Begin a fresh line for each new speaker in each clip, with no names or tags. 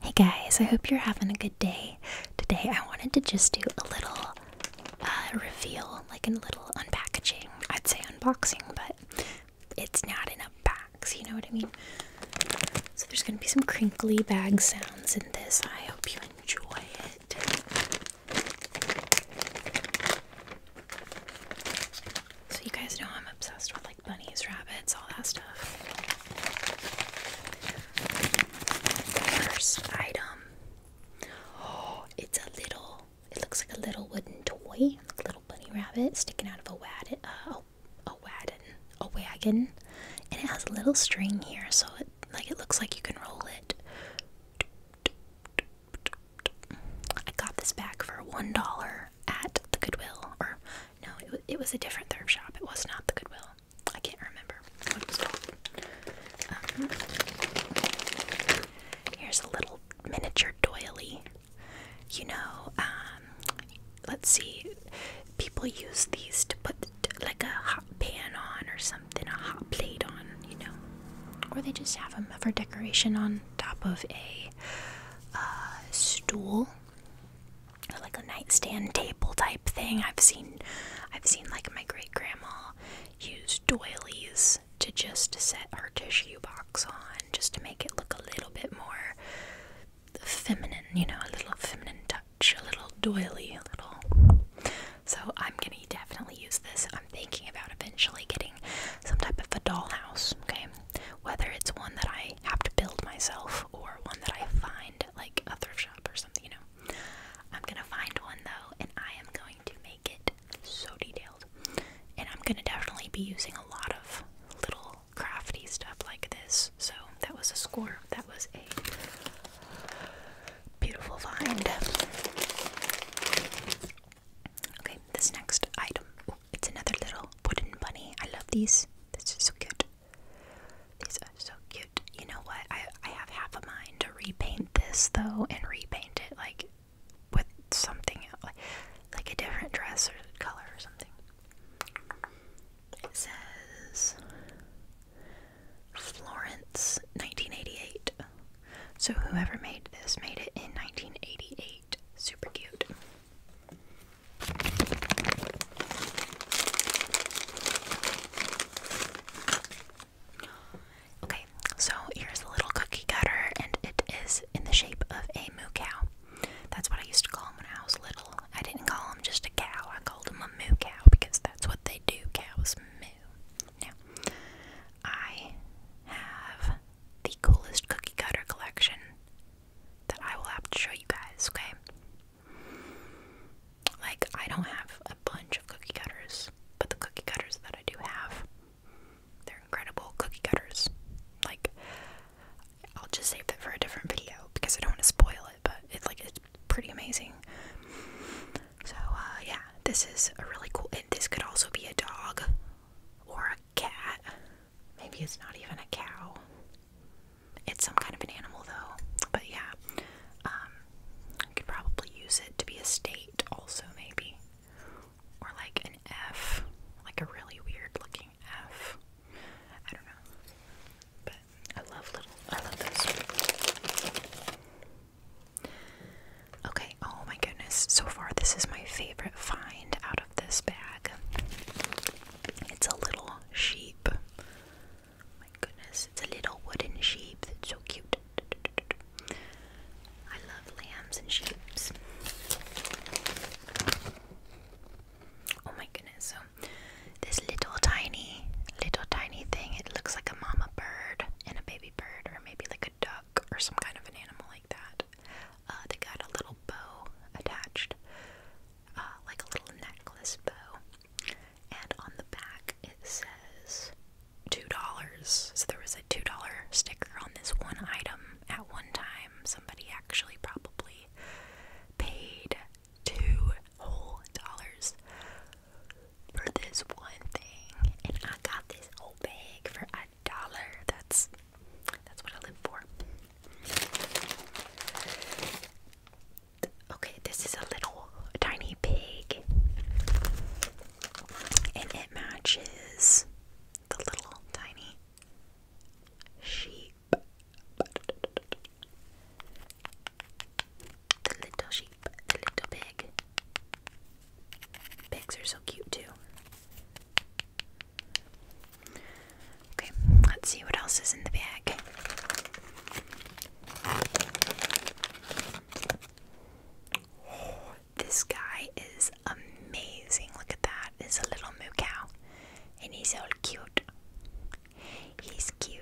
Hey guys, I hope you're having a good day. Today I wanted to just do a little uh, reveal, like a little unpackaging. I'd say unboxing, but it's not in a box, you know what I mean? So there's gonna be some crinkly bag sounds in this. I hope you enjoy it. So you guys know I'm obsessed with bunnies, rabbits, all that stuff. First item. Oh, it's a little. It looks like a little wooden toy, like a little bunny rabbit sticking out of a wad, uh, a wagon, a wagon, and it has a little string here, so it like it looks like you can roll it. I got this back for one dollar at the Goodwill, or no, it was, a different thrift shop. It was not the Goodwill. I can't remember what it was called. Um, here's a little miniature doily. You know, um, let's see. People use these to put like a hot pan on or something, a hot plate on, you know, or they just have them for decoration on top of a uh, stool like a nightstand table type thing. I've seen I've seen like my great grandma use doilies to just set her tissue box on just to make it look a little bit more feminine, you know, a little feminine touch, a little doily, a little so I'm gonna definitely use this. I'm thinking about eventually getting some type of a dollhouse, okay? whether it's one that I have to build myself or one that I find like a thrift shop or something, you know. I'm gonna find one though, and I am going to make it so detailed. And I'm gonna definitely be using a lot of little crafty stuff like this. So that was a score. That was a beautiful find. Okay, this next item. It's another little wooden bunny. I love these. This is so cute. These are so cute. You know what? I I have half a mind to repaint this though and repaint it like with something like like a different dress or color or something. It says Florence 1988. So whoever made this made it in 1988. Super cute. Okay, so here's a little cookie cutter, and it is in the shape of a moo cow. That's what I used to call them when I was little. I didn't call them just a cow, I called them a moo cow because that's what they do. Cows moo. Now, I have the coolest cookie cutter collection that I will have to show you guys, okay? Like, I don't have a bunch of cookie cutters, but the cookie cutters that I do have, they're incredible cookie cutters. Like, I'll just save that for a different video because I don't want to spoil it, but it's like, it's pretty amazing. So, uh, yeah, this is a really cool, and this could also be a dog or a cat Maybe it's not even a cow. It's some kind of an animal, though. But yeah, I um, could probably use it to be a state, also, maybe. Or like an F, like a really weird looking F. I don't know. But I love little, I love those. Okay, oh my goodness. So far, this is my favorite find out this bag. It's a little sheep. my goodness, it's a little wooden sheep that's so cute. I love lambs and sheep. Oh my goodness, so this little tiny, little tiny thing, it looks like a mama bird and a baby bird, or maybe like a duck or some kind of an animal like that. Uh, they got a little bow attached, uh, like a little necklace bow. And on the back it says $2. So there was a $2 sticker on this one item at one time. Somebody actually probably paid two whole dollars for this one thing. And I got this whole bag for a dollar. That's that's what I live for. Okay, this is a little tiny pig. And it matches the little tiny sheep. The little sheep, the little pig. Pigs are so cute too. Okay, let's see what else is in the bag. Oh, this guy is amazing. Look at that. It's a little moo cow. And he's all cute. He's cute.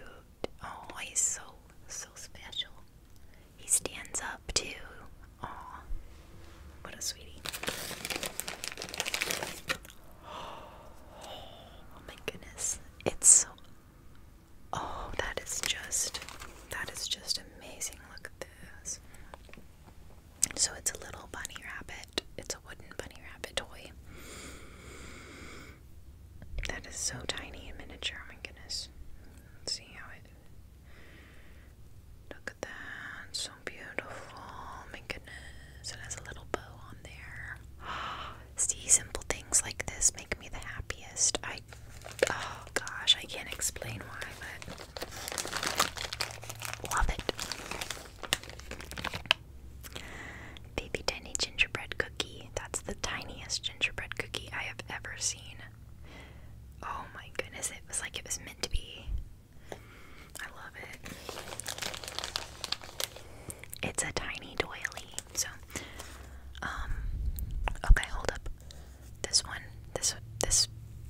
Oh, he's so, so special. He stands up too. Aw, what a sweetie. Oh my goodness. It's so. Oh, that is just. That is just amazing. Look at this. So it's a little bunny rabbit. It's a wooden bunny rabbit toy. That is so tiny and miniature. Oh my goodness. Let's see how it. Look at that, so beautiful. My goodness, it has a little bow on there. See, simple things like this make me the happiest. I, oh gosh, I can't explain why, but love it. Baby tiny gingerbread cookie. That's the tiniest gingerbread cookie I have ever seen. Oh my goodness, it was like it was meant to be. I love it. It's a tiny doily. So, um, okay, hold up. This one, this this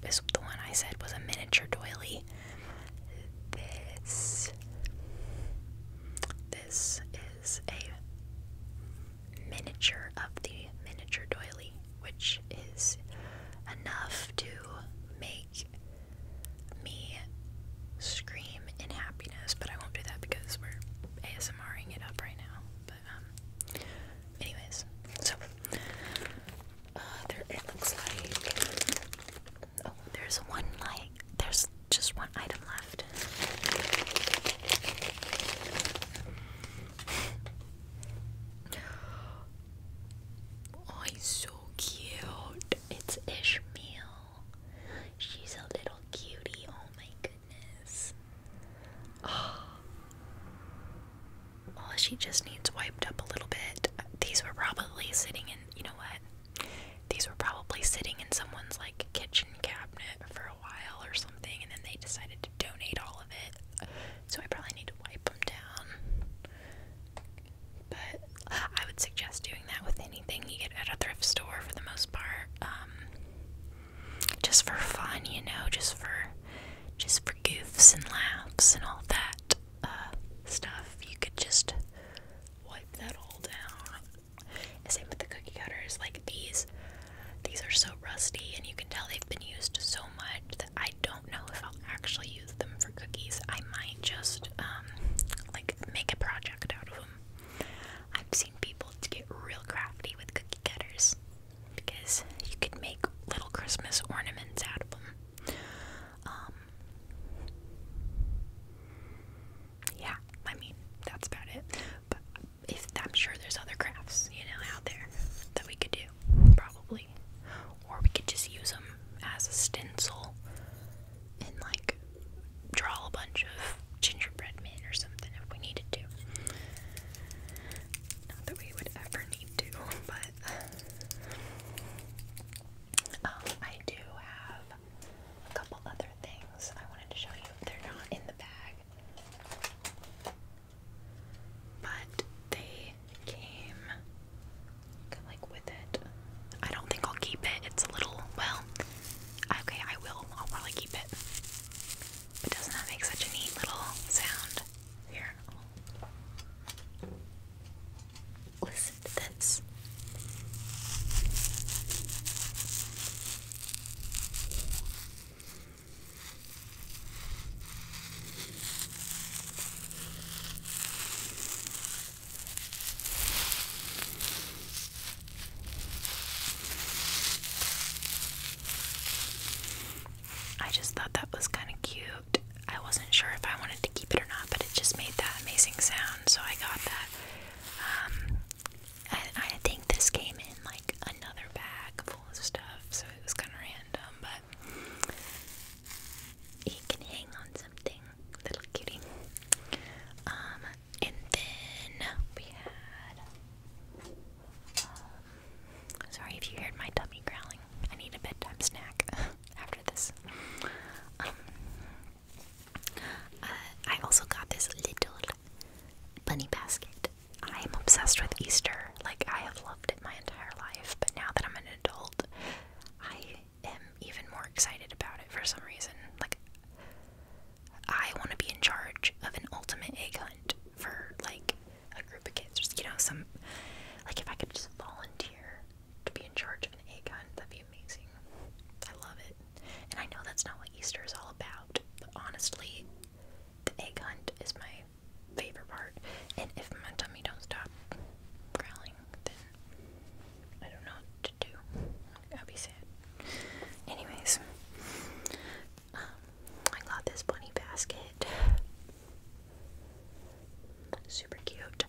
is the one I said was a miniature doily. This this is a miniature of the miniature doily which is enough to make me scream in happiness, but I won't do that because we're ASMRing it up right now. But um anyways, so uh, there it looks like oh there's one like there's just one item left oh, so cute. It's Ishmael. She's a little cutie. Oh my goodness. Oh. Well, oh, she just needs wiped up a little bit. These were probably sitting in, you know what? These were probably sitting in someone's like kitchen cabinet for a while or something, and then they decided to donate all of it so I probably need to wipe them down. But I would suggest doing that with anything you get at a thrift store for the most part. Um, just for fun, you know, just for just for goofs and laughs and all that uh, stuff. You could just wipe that all down. Same with the cookie cutters, like these these are so rusty, and you can tell they've been used so much that I don't know if I'll actually use them for cookies. I might just um, like make a project out of them. I've seen people get real crafty with cookie cutters because you could make little Christmas ornaments out of them. Um, yeah, I mean that's about it if I'm sure there's other crafts, you know, out there that we could do, probably. Or we could just use them as a stencil and like draw a bunch of gingerbread men or something if we needed to. Not that we would ever need to, but um, I do have a couple other things I wanted to show you. They're not in the bag. But they came like with it. I don't think I'll keep it. It's a little well. Okay, I will. I'll probably keep it. But doesn't that make such a neat little sound? Here. Listen to this. I just thought that was kind of cute. I wasn't sure if I wanted to keep it or not, but it just made that amazing sound, so I got that. Um, I, think this came in like another bag full of stuff, so it was kind of random, but he can hang on something, little kitty. Um, and then we had. Um, sorry if you heard my tummy growling. I need a bedtime snack after this. Um, uh, I also got this little bunny basket I'm obsessed with Easter. Like, I have loved it my entire life, but now that I'm an adult, I am even more excited about it for some reason. Like, I want to be in charge of an ultimate egg hunt for, like, a group of kids. Just, you know, some. Like, if I could just volunteer to be in charge of an egg hunt, that'd be amazing. I love it. And I know that's not what Easter is all about, but honestly, the egg hunt is my favorite part. And if my tummy don't stop growling, then I don't know what to do. I'll be sad. Anyways, um, I got this bunny basket. Super cute.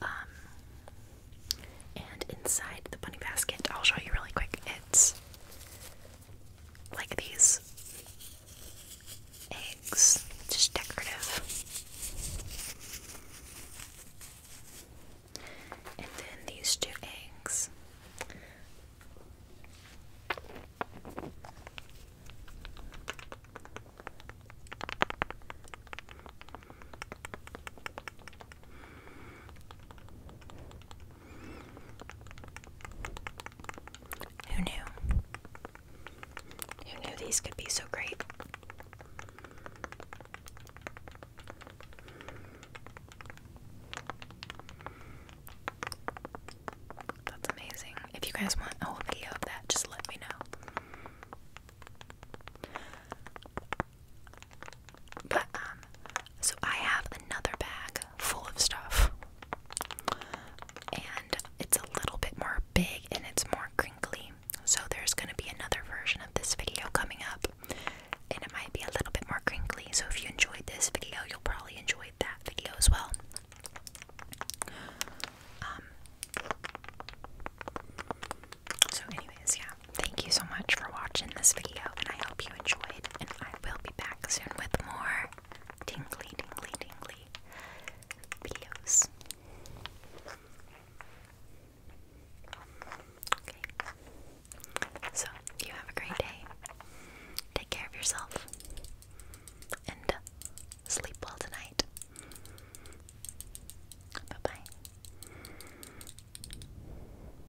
Um, and inside the bunny basket, I'll show you really quick. It's like these eggs, just decorative. And then these two eggs. Who knew? Who knew these could be so great? That's amazing. If you guys want a whole video of that, just let me know. But um so I have another bag full of stuff. And it's a little bit more big and it's more crinkly. So there's going to be another version of this video coming up. And it might be a little bit more crinkly. So if you enjoyed this video, you'll probably enjoy that video as well. Um so anyways, yeah. Thank you so much for watching this video and I hope you enjoyed and I will be back soon with more tingly, tingly, tingly videos. So, you have a great day. Take care of yourself. And sleep well tonight. Bye bye.